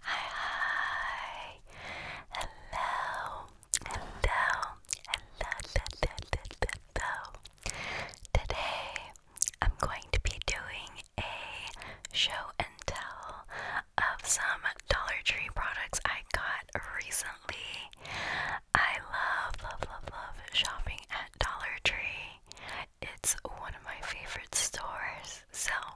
Hi, Hello. Hello. Hello. Today I'm going to be doing a show and tell of some Dollar Tree products I got recently. I love, love, love, love shopping at Dollar Tree. It's one of my favorite stores. So,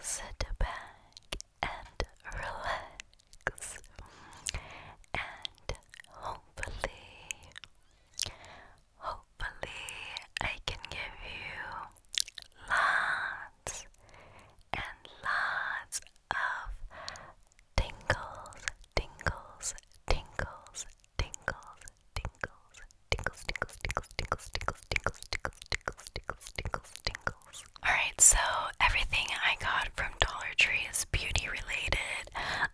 Sit back and relax. And hopefully, hopefully, I can give you lots and lots of tingles, tingles, tingles, tingles, tingles, Tinkles, tinkles, tinkles, tinkles, tinkles, tinkles, tinkles, tinkles, tinkles, tinkles, tinkles. Alright, so everything I got from Dollar Tree is beauty related.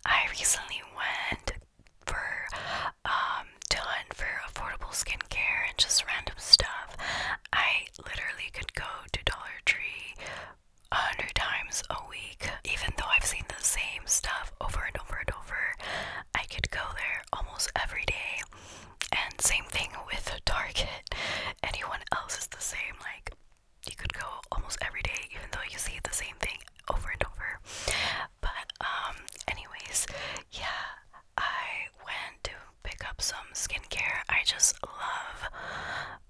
I recently went for um to hunt for affordable skincare and just random stuff. I literally could go to Dollar Tree a hundred times a week, even though I've seen the same stuff over and over and over. I could go there almost every day and same thing with Target. Anyone else is the same. Like you could go almost every day, even though you see the same thing over and over. But um, anyways, yeah, I went to pick up some skincare. I just love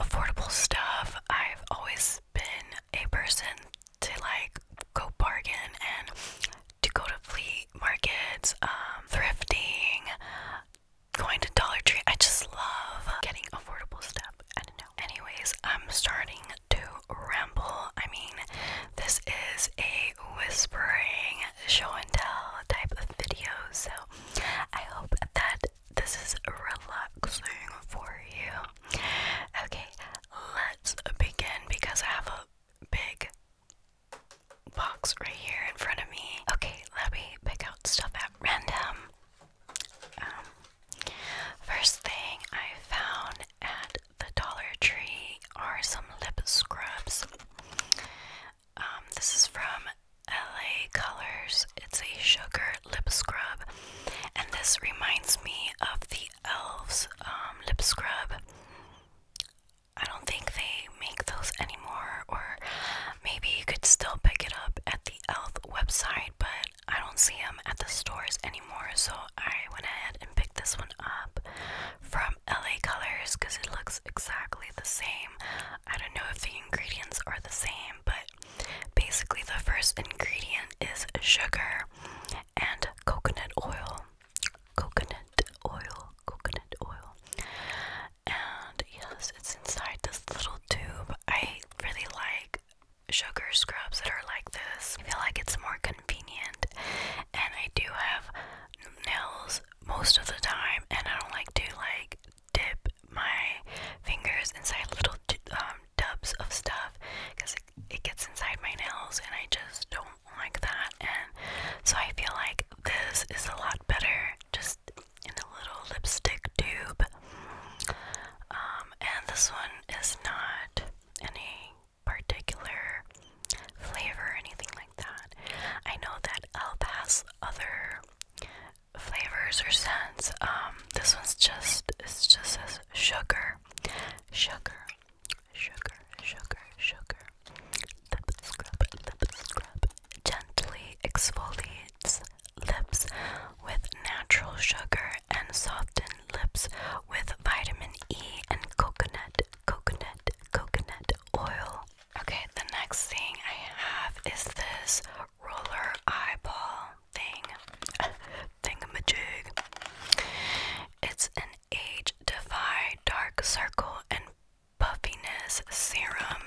affordable stuff. I've always been a person to like go bargain and to go to flea markets, um, thrifting, going to Dollar Tree. I just love getting affordable stuff. I Anyways, I'm starting to ramble. I mean, this is a whispering show and tell type of video, so I hope that this is relaxing for you. Okay, let's begin because I have a big box right here in front of me. Okay, let me pick out stuff at random. Um, first thing I found at the Dollar Tree are some lip scrubs. Um, this is from LA Colors. It's a sugar lip scrub, and this reminds me of the Elves um, lip scrub. I don't think they make those anymore, or maybe you could still pick it up at the e.l.f. website, but I don't see them at the stores anymore. So I went ahead and picked this one up from LA Colors because it looks exactly the same. I don't know if the ingredients are the same, but basically, the first ingredient is sugar and coconut oil coconut oil, coconut oil. And yes, it's inside this little tube. I really like sugar scrubs that are like this. I feel like it's more convenient. And I do have nails most of the time, and I don't like to like dip my fingers inside little um, tubs of stuff because it gets inside my nails, and I just don't like that, and so I feel like this is a lot better just in the little lipstick tube. Um, and this one is not any particular flavor anything like that. I know that Elf other flavors or scents. Um, this one's just, it's just sugar. Sugar sugar, sugar, sugar. Lip scrub, lip scrub. Gently exfoliates lips with natural sugar and soften lips with vitamin E and coconut, coconut, coconut oil. Okay, the next thing I have is this roller eyeball thing. Thingamajig. It's an age defy dark circle and puffiness serum,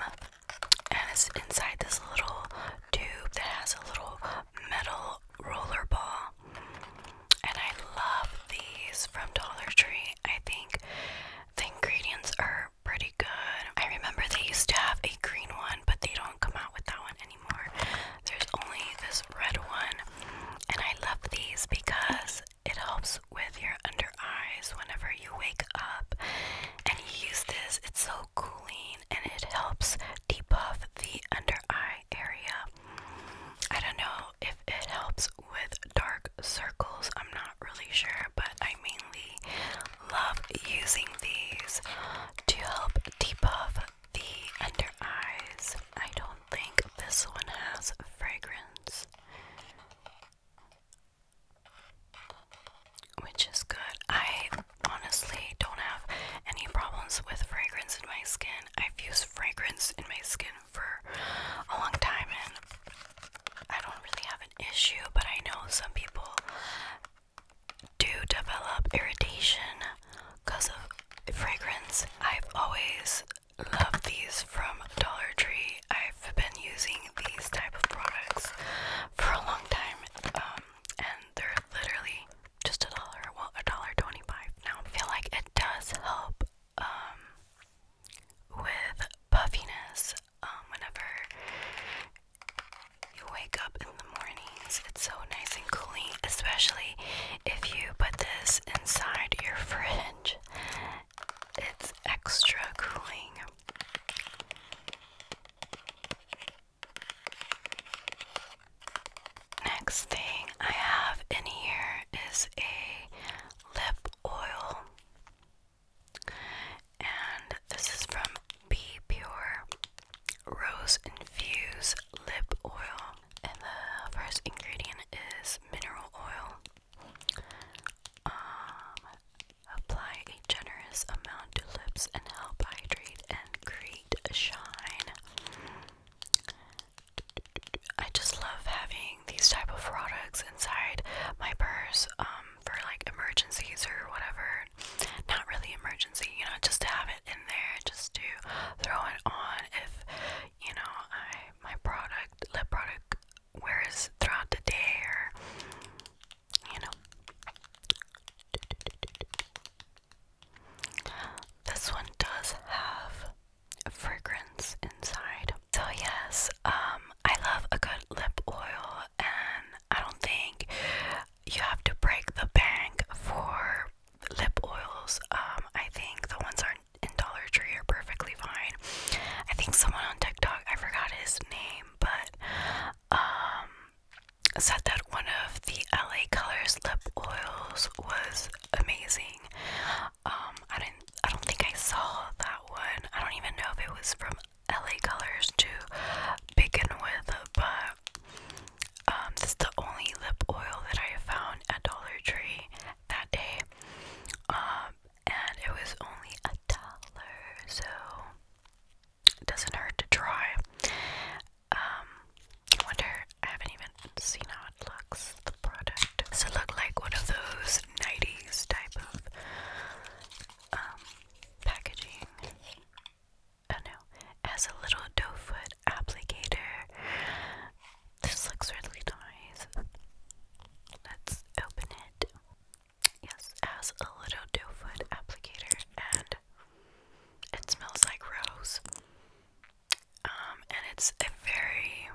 and it's inside this little tube that has a little metal roller ball. And I love these from Dollar Tree. I think the ingredients are pretty good. I remember they used to have a green one, but they don't come out with that one anymore. There's only this red one. And I love these because it helps with your under eyes whenever you wake up and you use this. It's so cooling and it helps depuff the under eye area. I don't know if it helps with dark circles. I'm not really sure, but I mainly love using these to help depuff the under eyes. I don't think this one has fragrance. Which is good. I honestly don't have any problems with fragrance in my skin. I've used fragrance in my skin for a long time and I don't really have an issue, but I know some people do develop irritation because of fragrance. I've always love these from Dollar Tree. I've been using these type of products for a long time, um, and they're literally just a dollar, well, a dollar twenty-five now. I feel like it does help um, with puffiness um, whenever you wake up in the mornings. It's so nice and cooling, especially if you put this inside your fridge it's extra cooling. Next thing I have in here is a lip oil, and this is from Be Pure Rose Infused Lip Oil. And the first ingredient is mineral oil. Um, apply a generous amount to lips and help hydrate and create a shine. I just love having these type of products inside my purse um, for like emergencies or whatever. Not really emergency, you know, just to have it in there, just to throw it on if you know I my product lip product Whereas throughout the day or you know. This one does have fragrance inside. So yes, um I love a good lip oil and I don't think you have to break the bank for lip oils. Um I think the ones are and Dollar Tree are perfectly fine. I think someone on TikTok, I forgot his name, but um said that one of the LA Colors lip oils was amazing. Um I didn't I don't think I saw that one. I don't even know if it was from LA Colors to begin with, but um, this is the only lip oil that I found at Dollar Tree that day. Um, and it was only a dollar, so it doesn't hurt to try. I um, wonder, I haven't even seen how it looks, the product. Does it look like one of those 90s type of um, packaging? Oh no, has a little doe foot applicator this looks really nice. Let's open it. Yes, has a little doe foot applicator and it smells like rose. Um, and it's a very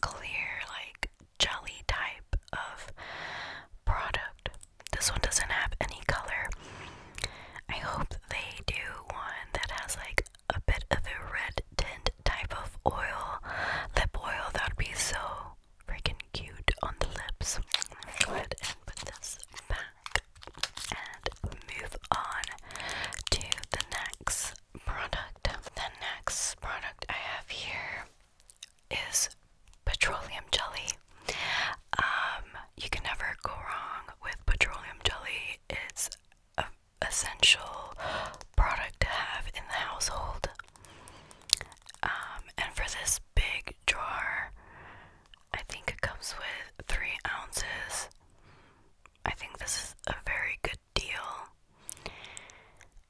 clear, like jelly type of product. This one doesn't have any color. I hope they do one that has like a bit of a red tint type of oil, lip oil, that would be so freaking cute on the lips. Go ahead and put this back and move on to the next product. The next product I have here is petroleum jelly. Um, you can never go wrong with petroleum jelly. It's essential product to have in the household. Um, and for this big jar, I think it comes with three ounces. I think this is a very good deal.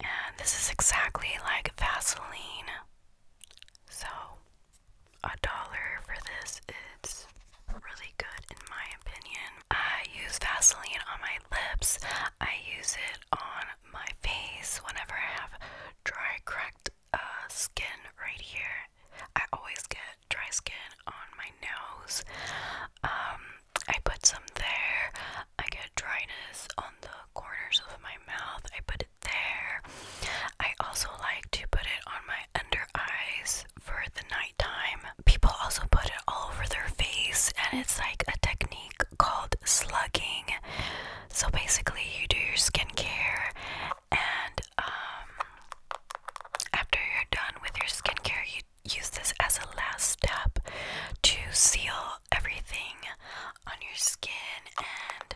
And this is exactly like Vaseline. So, a dollar for this is really good in my opinion. I use Vaseline on my lips. I use it on my face whenever I have dry, cracked uh, skin right here. I always get dry skin on my nose. Um, I put some there. I get dryness on the corners of my mouth. I put it there. I also like to put it on my under eyes for the nighttime. People also put it all over their face, and it's like a technique called slugging. So basically, you do your skincare, and um, after you're done with your skincare, you use this as a last step to seal everything on your skin, and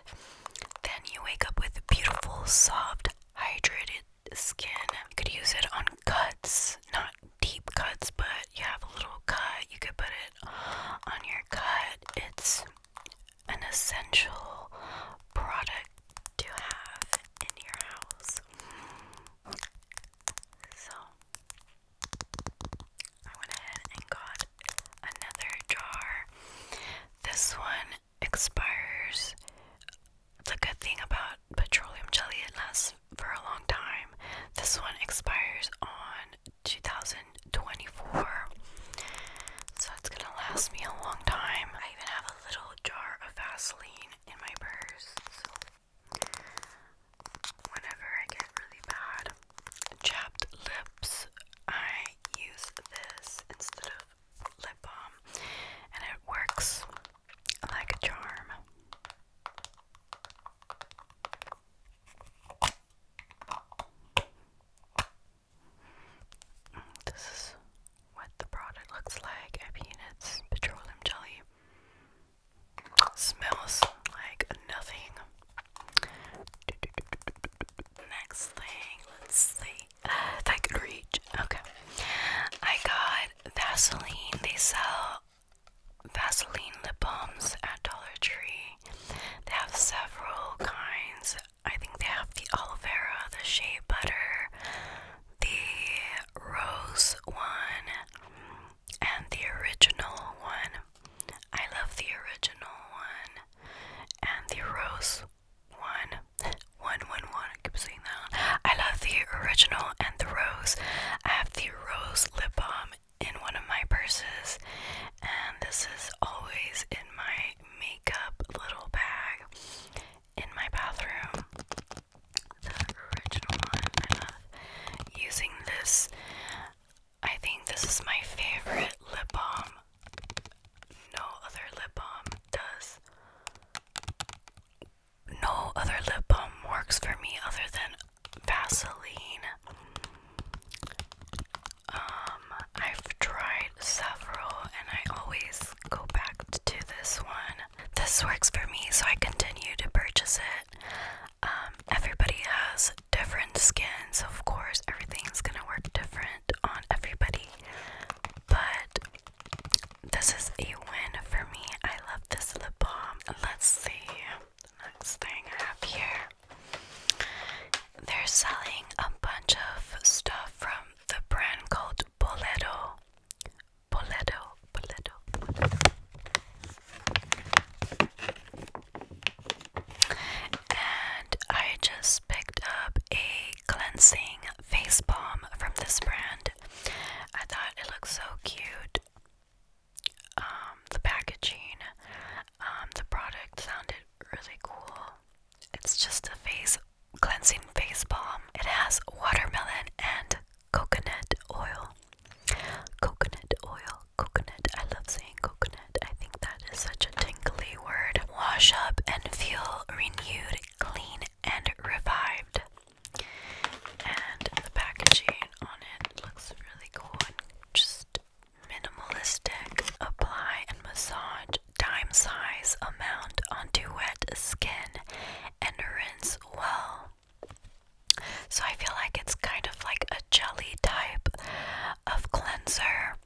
then you wake up with beautiful, soft, hydrated skin. You could use it on cuts, not deep cuts, but you have a little cut, you could put it on your cut. It's an essential product to have in your house. So, I went ahead and got another jar. This one expires. The good thing about petroleum jelly, it lasts for a long time. This one expires on 2024, so it's gonna last me a long time. I even have a little jar of Vaseline in my purse, so whenever I get really bad chapped lips, I use this instead of lip balm, and it works like a charm. This is what the product looks like. I petroleum jelly. Smells like nothing. Next thing, let's see if ah, I could reach. Okay, I got Vaseline. They sell Vaseline lip balms at Dollar Tree. They have several kinds. I think they have the aloe vera, the shea butter, the rose one, and the original one. I love the original one and the rose one. One, one, one. I keep saying that. I love the original and the rose. I have the rose lip balm in one of my purses, and this is always in my makeup little bag in my bathroom. The original one. using this. I think this is my favorite lip balm. No other lip balm does. No other lip balm works for me other than Vaseline. Um, I've tried several and I always go back to this one. This works for me, so I continue to purchase it. Um, everybody has different skins, of course, everything's gonna work different on everybody, but this is a win for me. I love this lip balm. Let's see next thing I have here. They're selling a bunch of stuff from the brand called Boleto. Boleto, Boleto, And I just picked up a cleansing face balm from this brand. I thought it looked so cute. Um, the packaging, um, the product sounded really cool. It's just a face cleansing face balm. It has watermelon and coconut oil. Coconut oil, coconut. I love saying coconut. I think that is such a tingly word. Wash up and feel renewed, clean, and revived. And the packaging on it. looks really cool just minimalistic. Apply and massage dime size amount onto wet skin and rinse well. So I feel like it's kind of like a jelly type of cleanser.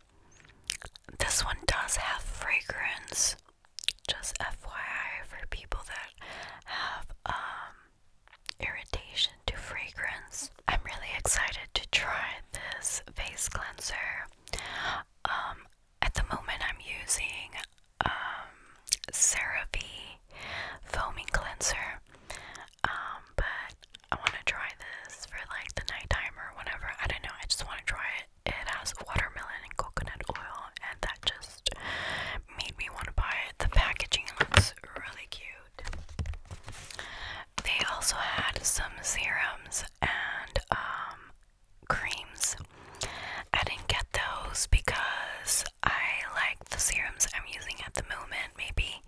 This one does have fragrance. Just FYI for people that have um irritation to fragrance. I'm really excited to try this face cleanser. Um, at the moment, I'm using um, CeraVe foaming cleanser, um, but I want to try this for like the nighttime or whatever. I don't know. I just want to try it. It has watermelon and coconut oil, and that just made me want to buy it. The packaging looks really cute. They also had some serums and um, creams. I didn't get those because I like the serums I'm using at the moment. Maybe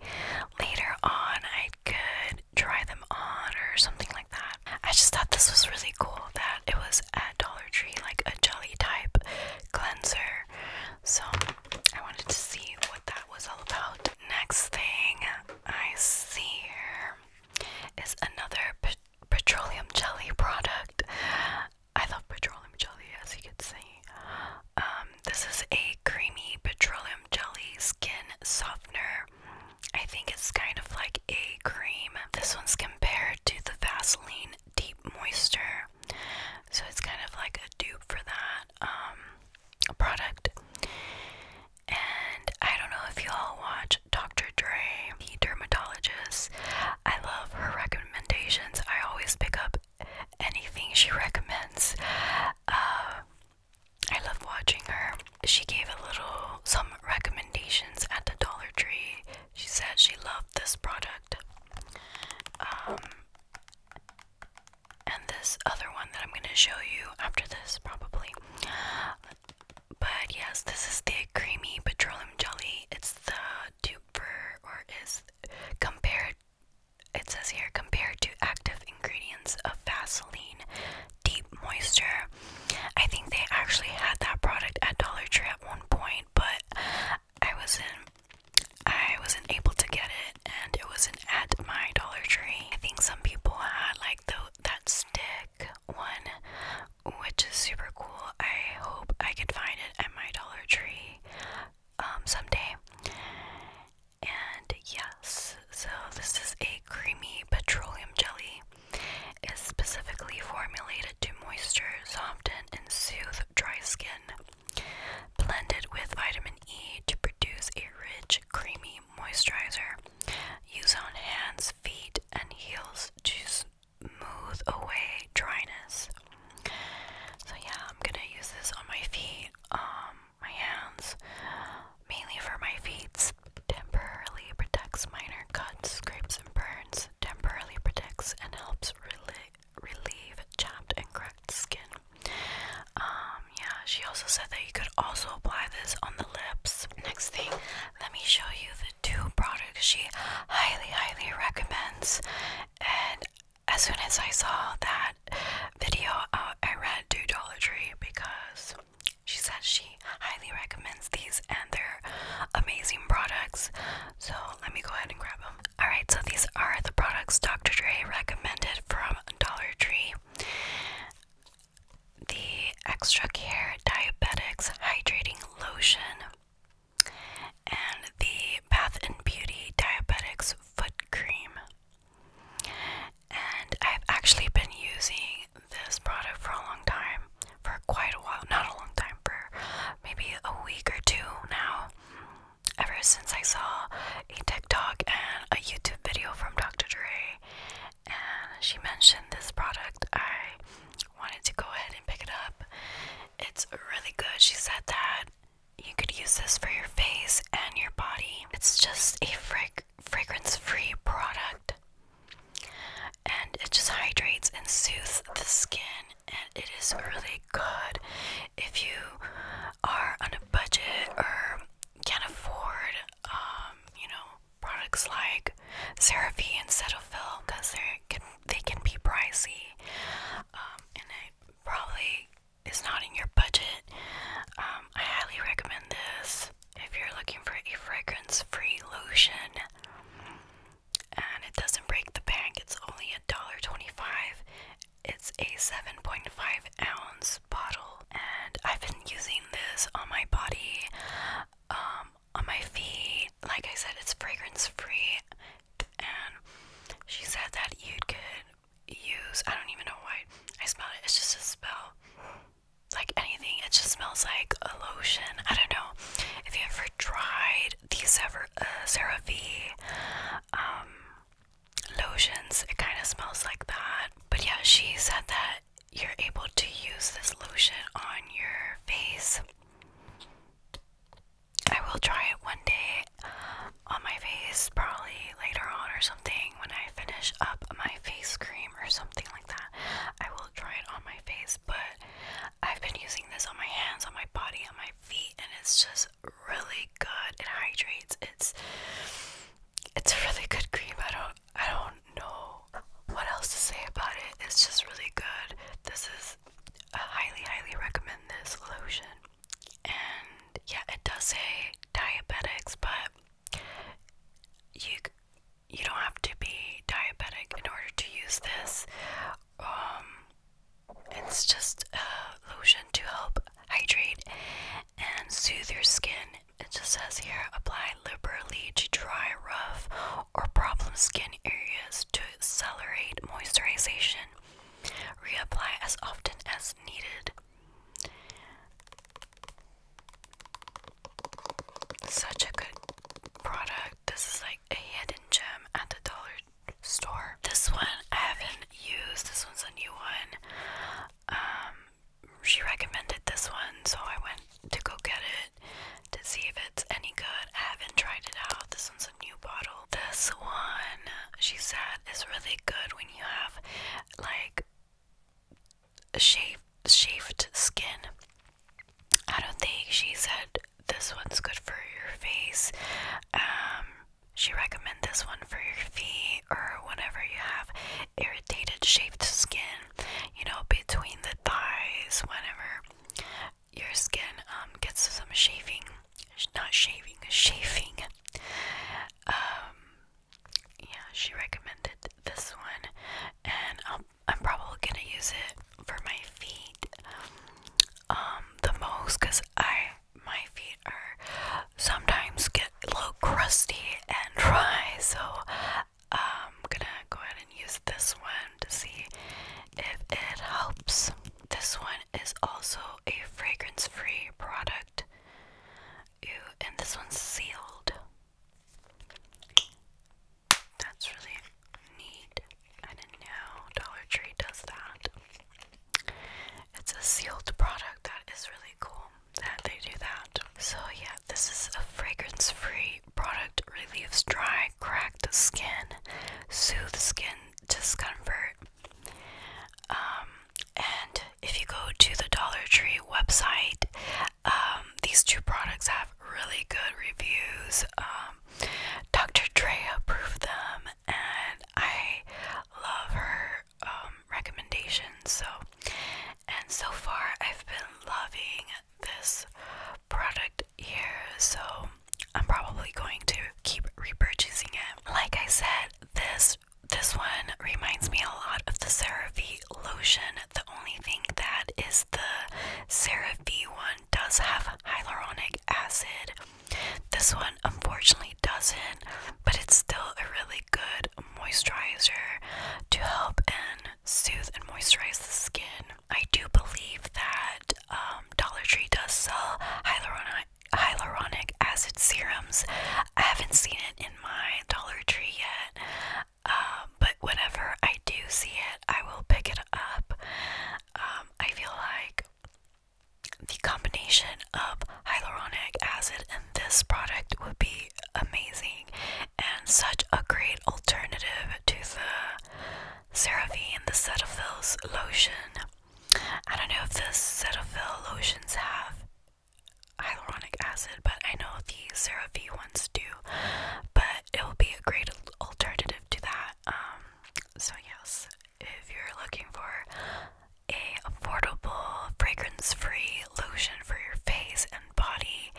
later on I could try them on or something like that. I just thought this was really cool that it was at Dollar Tree, like a jelly type cleanser. So I wanted to see what that was all about. Next thing I see here is another petroleum jelly product. I love petroleum jelly, as you can see. Um, this is a creamy petroleum jelly skin softener. I think it's kind of like a cream. This one's compared to the Vaseline Deep Moisture so it's kind of like a dupe for that um, product. And I don't know if you all watch Dr. Dre, the dermatologist. I love her recommendations. I always pick up anything she recommends. Uh, I love watching her. She gave a little some recommendations at the Dollar Tree. She said she loved this product. Um, and this other one that I'm gonna show you after this, probably. But yes, this is the creamy petroleum jelly. It's the duper, or is compared. It says here compared to active ingredients of Vaseline Deep Moisture. I think they actually had that product at Dollar Tree at one point, but I wasn't I wasn't able to get it, and it wasn't at my Dollar Tree. I think some people had like the that stick one, which is super cool. I hope I can find it at my Dollar Tree um, someday. And yes, so this is a creamy petroleum jelly. is specifically formulated to moisturize, soften, and soothe dry skin blended with vitamin E to produce a rich, creamy moisturizer. Use on hands, feet, and heels to smooth away dryness. So yeah, I'm gonna use this on my feet, um, my hands, mainly for my feet. Temporarily protects minor cuts, scrapes, and burns. Temporarily protects and helps relieve relieve chapped and cracked skin. Um, yeah, she also said that you could also apply this on the lips. Next thing, let me show you the two products she highly, highly recommends. And as soon as I saw that video, uh, I ran to Dollar Tree because she says she highly recommends these and they're amazing products. So let me go ahead and grab them. Alright, so these are the products Dr. Dre recommended from Dollar Tree the Extra Care Diabetics Hydrating Lotion and the Bath and Beauty Diabetics Foot Cream. And I've actually been using this product for a long time, for quite a while, not a long time, for maybe a week or two now ever since I saw a TikTok and a YouTube video from Dr. Dre, and she mentioned this product, I wanted to go ahead and pick it up. It's really good. She said that you could use this for your face and your body. It's just a frag fragrance-free product, and it just hydrates and soothes the skin. And it is really good if you are on a budget or can't afford, um, you know, products like CeraVe and Cetaphil because they can they can be pricey, um, and it probably is not in your budget. Um, I highly recommend this if you're looking for a fragrance-free lotion, and it doesn't break the bank. It's only a dollar twenty-five, it's a 7.5 ounce bottle, and I've been using this on my body, um, on my feet. Like I said, it's fragrance free, and she said that you could use. I don't even know why I smell it. It's just a smell, like anything. It just smells like a lotion. I don't know if you ever tried these ever, uh, CeraVe, um lotions. It kind of smells like that. But yeah, she said that you're able to use this lotion on your face. I will try it one day on my face, probably later on or something when I finish up my face cream or something like that. I will try it on my face, but I've been using this on my hands, on my body, on my feet, and it's just really good. It hydrates. It's it's a really good cream. I don't I don't know what else to say about it. It's just really good. This is highly highly recommend this lotion. And yeah, it does say diabetics, but you you don't have to be diabetic in order to use this. Um, it's just a lotion to help hydrate and soothe your skin. It just says here apply liberally to dry, rough, or problem skin areas to accelerate moisturization. Reapply as often as needed. Such a good product. This is like a hidden gem at the Dollar store. This one I haven't used. This one's a new one. Um, she recommended this one, so I went to go get it to see if it's any good. I haven't tried it out. This one's a new bottle. This one, she said, is really good when you have like shaved shaved skin. I don't think she said this one's good for your face. Um, she recommended this one for your feet or whenever you have irritated shaved skin, you know, between the thighs, whenever your skin um, gets some shaving, not shaving, shaving. Um, yeah, she recommended this one, and I'll, I'm probably gonna use it for my feet um, the most because I my feet are sometimes get a little crusty and dry, so I'm gonna go ahead and use this one to see if it helps. This one is also a fragrance free product. Ew, and this one's sealed. That's really neat. I didn't know Dollar Tree does that. It's a sealed product that is really cool that they do that. So, yeah, this is a fragrance free product, relieves dry, cracked skin, soothes skin discomfort. Um, and if you go to the Dollar Tree website, um, these two products have really good reviews. Um, Dr. Dre approved them, and I love her um, recommendations. So, and so far, I've been loving this product here, so I'm probably going to keep repurchasing it. Like I said, this this one reminds me a lot of the CeraVe lotion. The only thing that is the CeraVe one does have hyaluronic acid this one unfortunately doesn't, but it's still a really good moisturizer to help and soothe and moisturize the skin. I do believe that um, Dollar Tree does sell hyaluronic, acid serums. I haven't seen it in my Dollar Tree yet, um, but whenever I do see it, I will pick it up. Um, I feel like the combination of hyaluronic acid and this product would be amazing and such a great alternative to the CeraVe and the Cetaphil's lotion. I don't know if the Cetaphil lotions have hyaluronic acid, but I know the CeraVe ones do. But it will be a great alternative to that. Um, so yes, if you're looking for a affordable fragrance-free lotion for your face and body,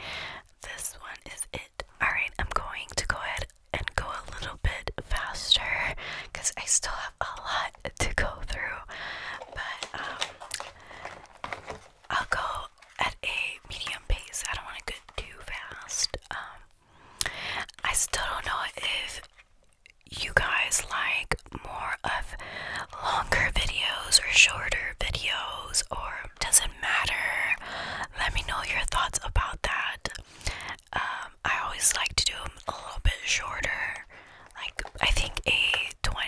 this one is it. All right, I'm going to go ahead and go a little bit faster because I still have a lot to go through, but um, I'll go at a medium pace. I don't want to go too fast. Um, I still don't know if you guys like more of longer videos or shorter videos or doesn't matter. Let me know your thoughts about that. Um, I always like to do them a little bit shorter. Like I think a 20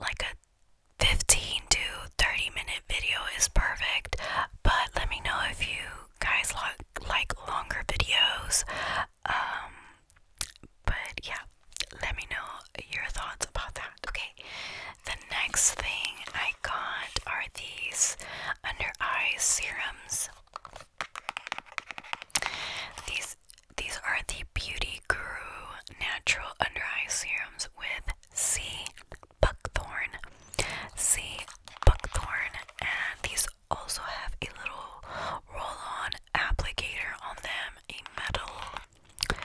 like a 15 to 30 minute video is perfect but let me know if you guys like like longer videos um, but yeah, let me know your thoughts about that. Okay, the next thing I got are these under eye serums. These these are the Beauty Guru natural under eye serums with C buckthorn, C buckthorn, and these also have a little roll on applicator on them, a metal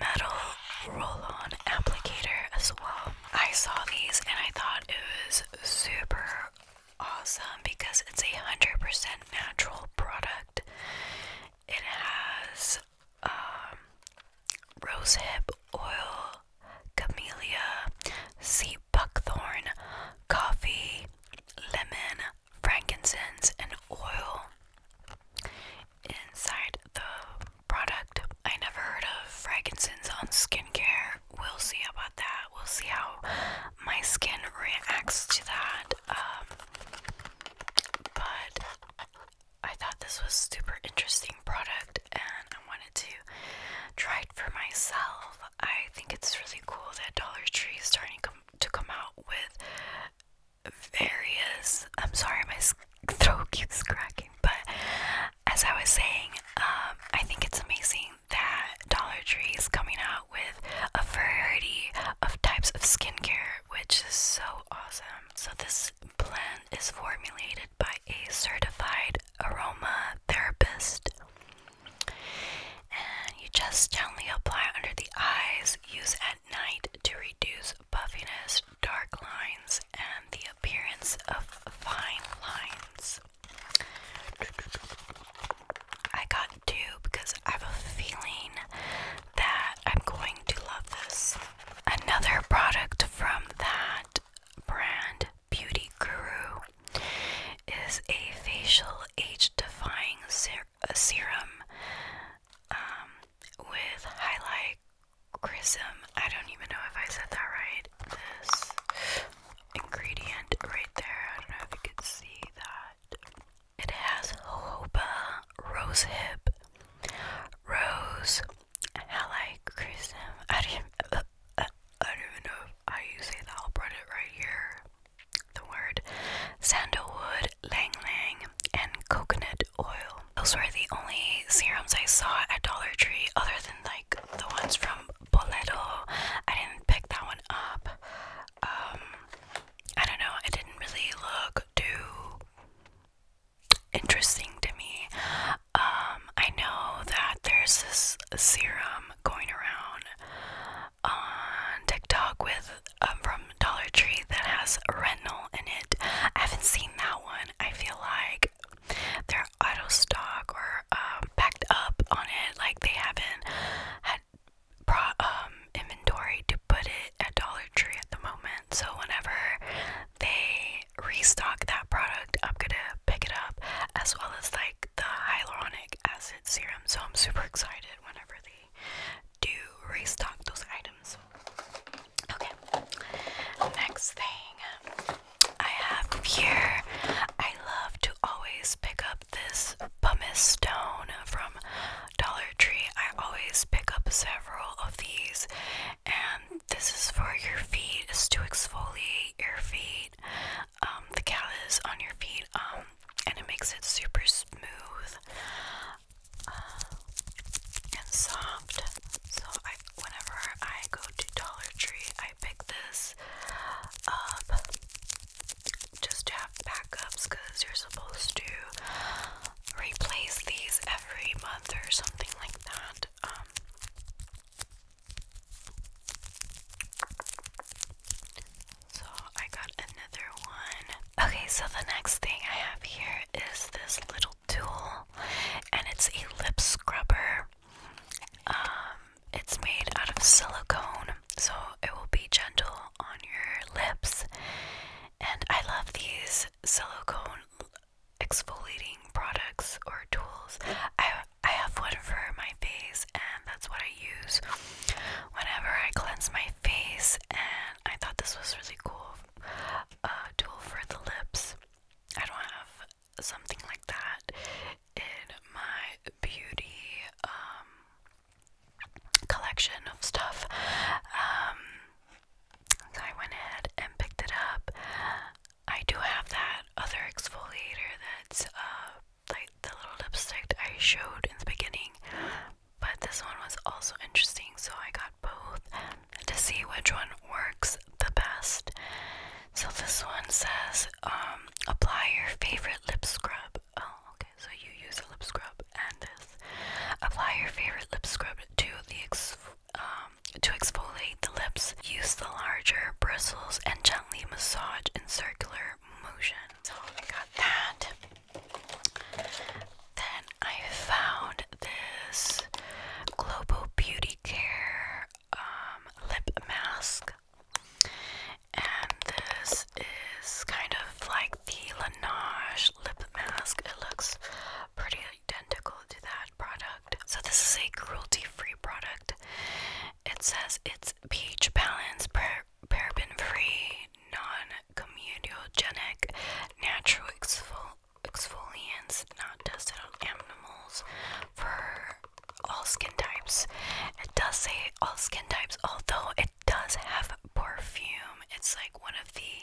metal roll on applicator as well. I saw these and I thought it was super awesome because it's a hundred percent natural product. It has um, rosehip oil, camellia, sea buckthorn, coffee, lemon, frankincense, and oil inside the product. I never heard of frankincense on skincare. We'll see about that. We'll see how my skin reacts to that. Um, but I thought this was super interesting product and I wanted to try for myself. I think it's really cool that Dollar Tree is starting to come out with various. I'm sorry, my throat keeps cracking, but as I was saying, um, I think it's amazing that Dollar Tree is coming out with a variety of types of skincare, which is so awesome. So, this blend is formulated by a certified aroma therapist and you just gently apply under the eyes. Use at night to reduce puffiness, dark lines, and the appearance of fine lines. I got two because I have a feeling that I'm going to love this. Another product from that brand, Beauty Guru, is a facial age-defying uh, serum um, with highlight chrism. I don't even know if I said that right. This ingredient right there. I don't know if you can see that. It has jojoba, rosehip, rose, highlight chrism. I don't I don't even know if I say that. I'll put it right here the word sandalwood, lang lang, and coconut oil. Those were the only serums I saw at Dollar Tree, other than like the ones from Boleto. I didn't pick that one up. Um, I don't know, it didn't really look too interesting to me. Um, I know that there's this serum going around on TikTok with um, from Dollar Tree that has retinol in it. I haven't seen that one. I feel like they're out stock or um, packed up on it. Like they haven't had brought um, inventory to put it at Dollar Tree at the moment. So whenever they restock that product, I'm gonna pick it up as well as like the hyaluronic acid serum, so I'm super excited whenever they do restock those items. Okay, next thing I have here, I love to always pick up this pumice stone from Dollar Tree. I always pick up several of these, and this is for your feet, is to exfoliate your feet um, the callus on your feet, um, and it makes it super smooth uh, and soft. So I, whenever I go to Dollar Tree, I pick this up just to have backups because you're supposed to replace these every month or something like that. Um, so I got another one. Okay, so the next thing I have here is this little tool, and it's a lip scrubber. Um, it's made out of silicone, so it will be gentle on your lips. And I love these silicone exfoliating products or tools. I have one for my face, and that's what I use whenever I cleanse my face. And I thought this was really cool a uh, tool for the lips. I don't have something like that in my beauty um, collection of stuff. Um, so I went ahead and picked it up. I do have that other exfoliator that's uh, like the little lipstick I showed in the beginning, but this one was also interesting, so I got both to see which one works the best. So this one says, um, apply your favorite lip scrub. Oh, okay, so you use a lip scrub and this. Apply your favorite lip scrub to the ex um, to exfoliate the lips. Use the larger bristles and gently massage in circular motion. So I got that. Then I found this Global Beauty Care um, lip mask. And this is kind of like the Laneige lip mask. It looks pretty identical to that product. So, this is a cruelty free product. It says it's pH balance, pro paraben-free, non-comedogenic, natural exfol exfoliants, not tested on animals for all skin types. It does say all skin types, although it does have perfume. It's like one of the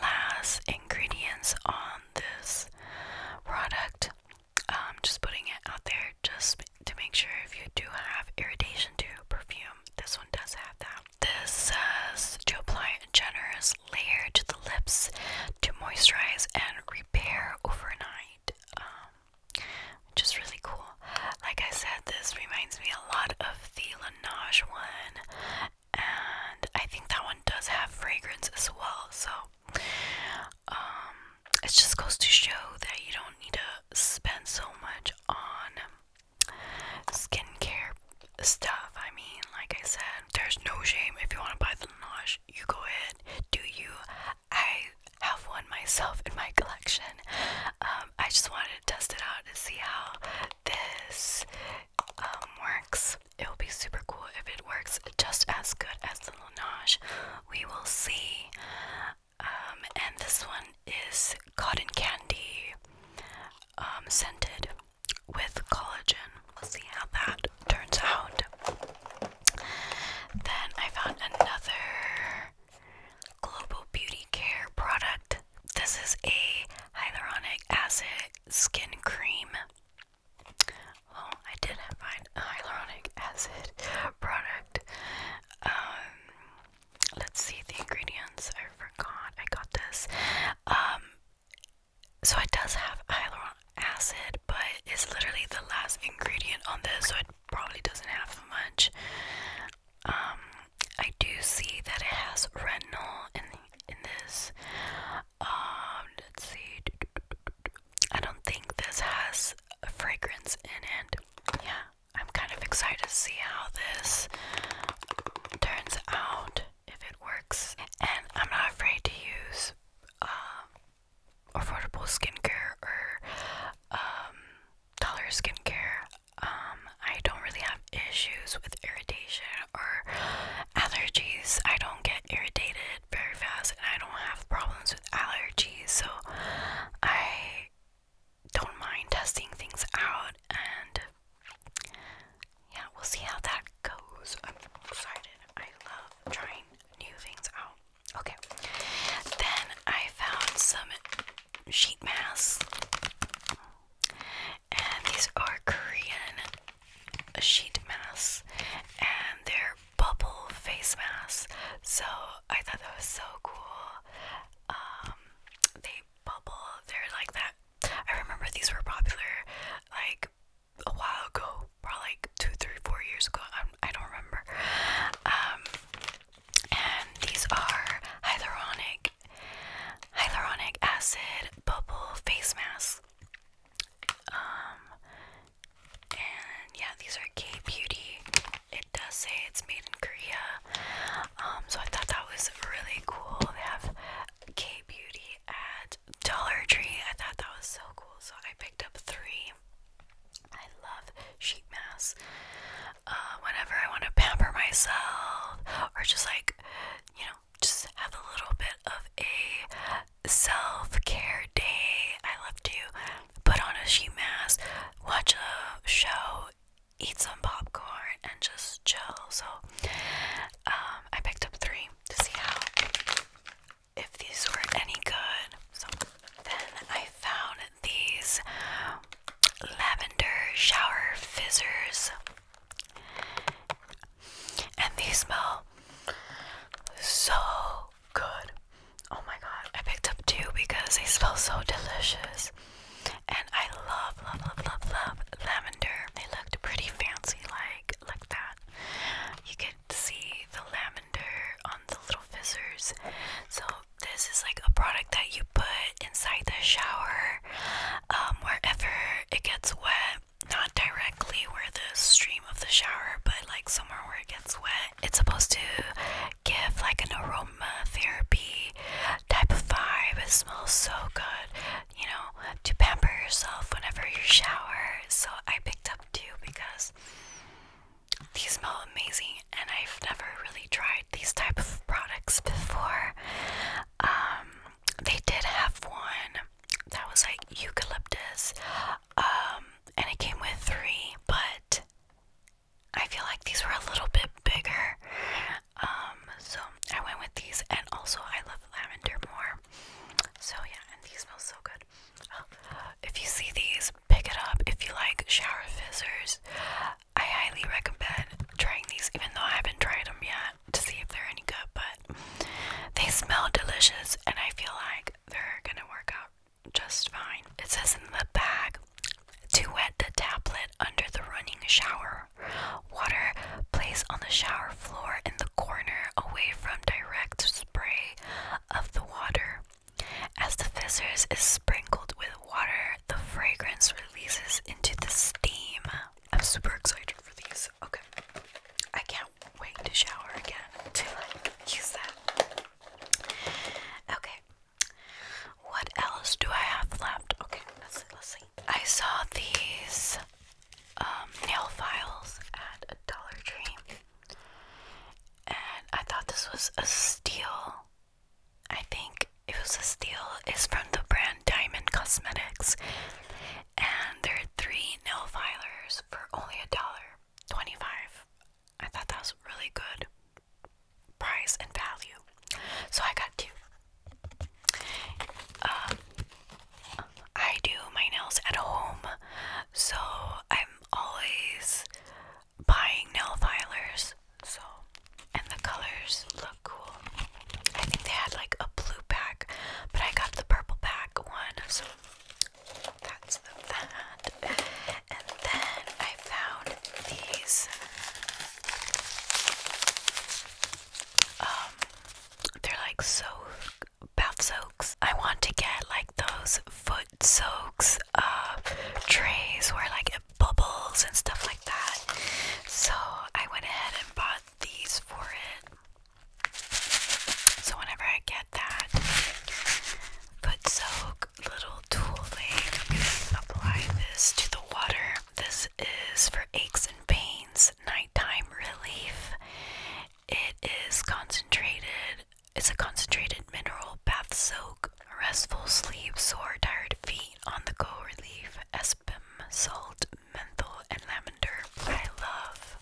last ingredients on this product. I'm um, just putting it out there, just to make sure if you do have irritation to perfume, this one does have that. This says to apply a generous layer to the lips to moisturize and repair overnight, um, which is really cool. Like I said, this reminds me a lot of the Laneige one, and I think that one does have fragrance as well. So, um, it just goes to show that you don't need to spend so much on skincare stuff. I mean, like I said, there's no shame if you want to buy the Laneige, you go ahead, do you. I have one myself in my collection. Um, I just wanted to test it out to see how this um, works. It will be super cool if it works just as good as the Laneige. We will see. Um, and this one is cotton candy um, scented with collagen. We'll see how that turns out. Then I found another Global Beauty Care product. This is a hyaluronic acid skin cream. Well, I did find hyaluronic acid product. Um, let's see the ingredients. I forgot I got this. Um, so it does have hyaluronic acid, but it's literally the last ingredient on this, so it probably doesn't have much. Um, I do see that it has retinol in in this. Um, let's see. I don't think this has a fragrance in it. Yeah, I'm kind of excited to see how this turns out if it works. And I'm not afraid to use um, affordable skincare or um, dollar skincare. Um, I don't really have issues with irritation or allergies. I don't get irritated very fast, and I don't have problems with allergies. So I don't mind testing things out, and yeah, we'll see how that goes. I'm excited. I love trying new things out. Okay, then I found some sheet masks, and these are Korean sheet masks, and they're bubble face masks. So I thought that was so cool um they bubble they're like that I remember these were popular like a while ago probably like two three four years ago I'm, I i do not remember um and these are hyaluronic hyaluronic acid bubble face mask um and yeah, these are K Beauty. It does say it's made in Korea. Um, so I thought that was really cool. They have K Beauty at Dollar Tree. I thought that was so cool. So I picked up three. I love sheet masks. Uh, whenever I want to pamper myself or just like, you know, just have a little bit of a self care day, I love to put on a sheet mask, watch a show, eat some popcorn, and just chill. So um, I picked up three to see how if these were any good. So then I found these lavender shower fizzers, and they smell so good. Oh my god, I picked up two because they smell so delicious. And I love, love, love, love, love lavender. They looked pretty fancy, like like that. You could see the lavender on the little fizzers. So this is like a product that you put inside the shower, um, wherever it gets wet. Not directly where the stream of the shower, but like somewhere where it gets wet it's supposed to give like an aroma therapy type of vibe. It smells so good, you know, to pamper yourself whenever you shower. So I picked up two because these smell amazing and I've never really tried these type of products before. Um, they did have one that was like eucalyptus. Um, and it came with three, but I feel like these were a little bit bigger. Um, so I went with these, and also I love lavender more. So yeah, and these smell so good. Oh, if you see these, pick it up. If you like shower fizzers, I highly recommend trying these, even though I haven't tried them yet to see if they're any good. But they smell delicious, and I feel like they're gonna work out just fine. It says in the bag to wet the tablet under the running shower. Water Place on the shower floor in the corner away from direct spray of the water. As the fizzers is sprinkled with water, the fragrance releases into the steam. I'm super excited for these. Okay. I can't wait to shower again to like use that. Okay, what else do I have left? Okay, let's see, let's see. I saw these um, nail files at a Dollar Tree, and I thought this was a steal. I think it was a steal. It's from the brand Diamond Cosmetics, and there are three nail filers for only a dollar twenty-five. I thought that was really good price and value. So I got two. Um, I do my nails at home, so I'm always buying nail filers. So, and the colors look cool. I think they had like a blue pack, but I got the purple pack one. So that's the that. And then I I found these. Um, they're like so bath soaks. I want to get like those foot soaks uh, trays where like bubbles and stuff like that. So I went ahead and bought these for it. So whenever I get that foot soak, little tool thing. I'm gonna apply this to the water. This is for aches and pains, nighttime relief. It is concentrated. It's a concentrated mineral bath soak, restful sleep, sore, tired feet, on the go relief, espum, salt, menthol, and lavender. I love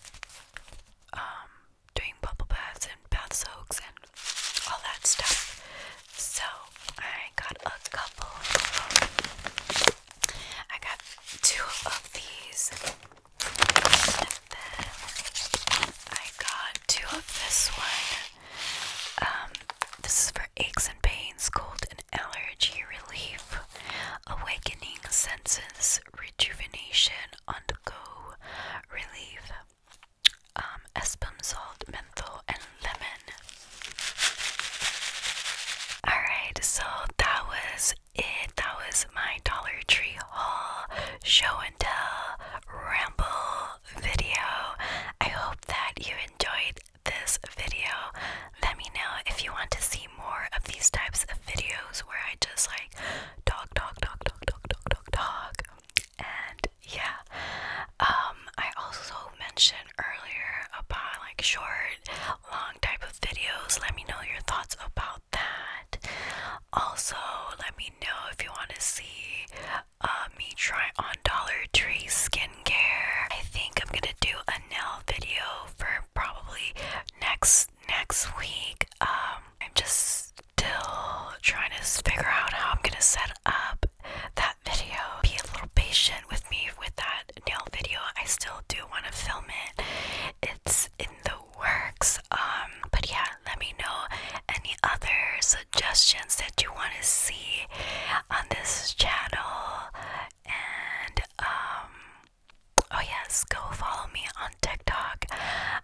um, doing bubble baths and bath soaks and all that stuff. So I got a couple. I got two of these. And then I got two of this one. Um, this is for aches and pains, cold and allergy relief, awakening senses, rejuvenation, on go relief um, salt, menthol, and lemon. Alright, so that was it. That was my Dollar Tree haul, show and tell, ramble video. I hope that you enjoyed this video. Let me know if you want to see more of these types of videos where I just like talk, talk, talk, talk, talk, talk, talk, talk and yeah um, I also mentioned earlier about like short long type of videos let me know your thoughts about that also let me know if you want to see uh, me try on Dollar Tree skincare I think I'm gonna do a nail video for probably next next week um, I'm just still trying to figure out how I'm gonna set up that video. Be a little patient with me with that nail video. I still do want to film it. It's in the works. Um, but yeah, let me know any other suggestions that you want to see on this channel. And um oh yes, go follow me on TikTok.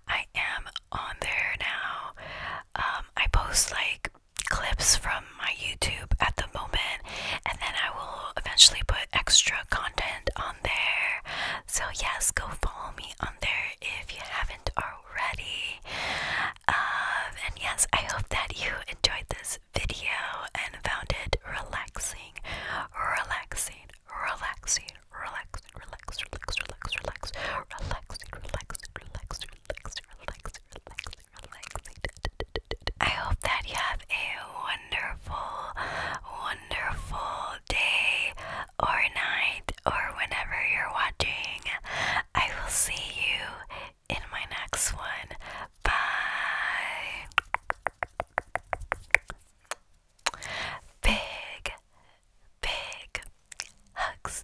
I am on there now. Um I post like clips from my YouTube at the moment, and then I will eventually put extra content on there. So, yes, go follow me on there if you haven't already. Um, and yes, I hope that you enjoyed this video and found it relaxing, relaxing, relaxing, relaxing, relax, relax, relax, relax, relaxing, relaxing, relaxing, relax, relax, relax, relax. I hope that you have a wonderful, wonderful day or night or whenever you're watching. I will see you in my next one. Bye. Big, big hugs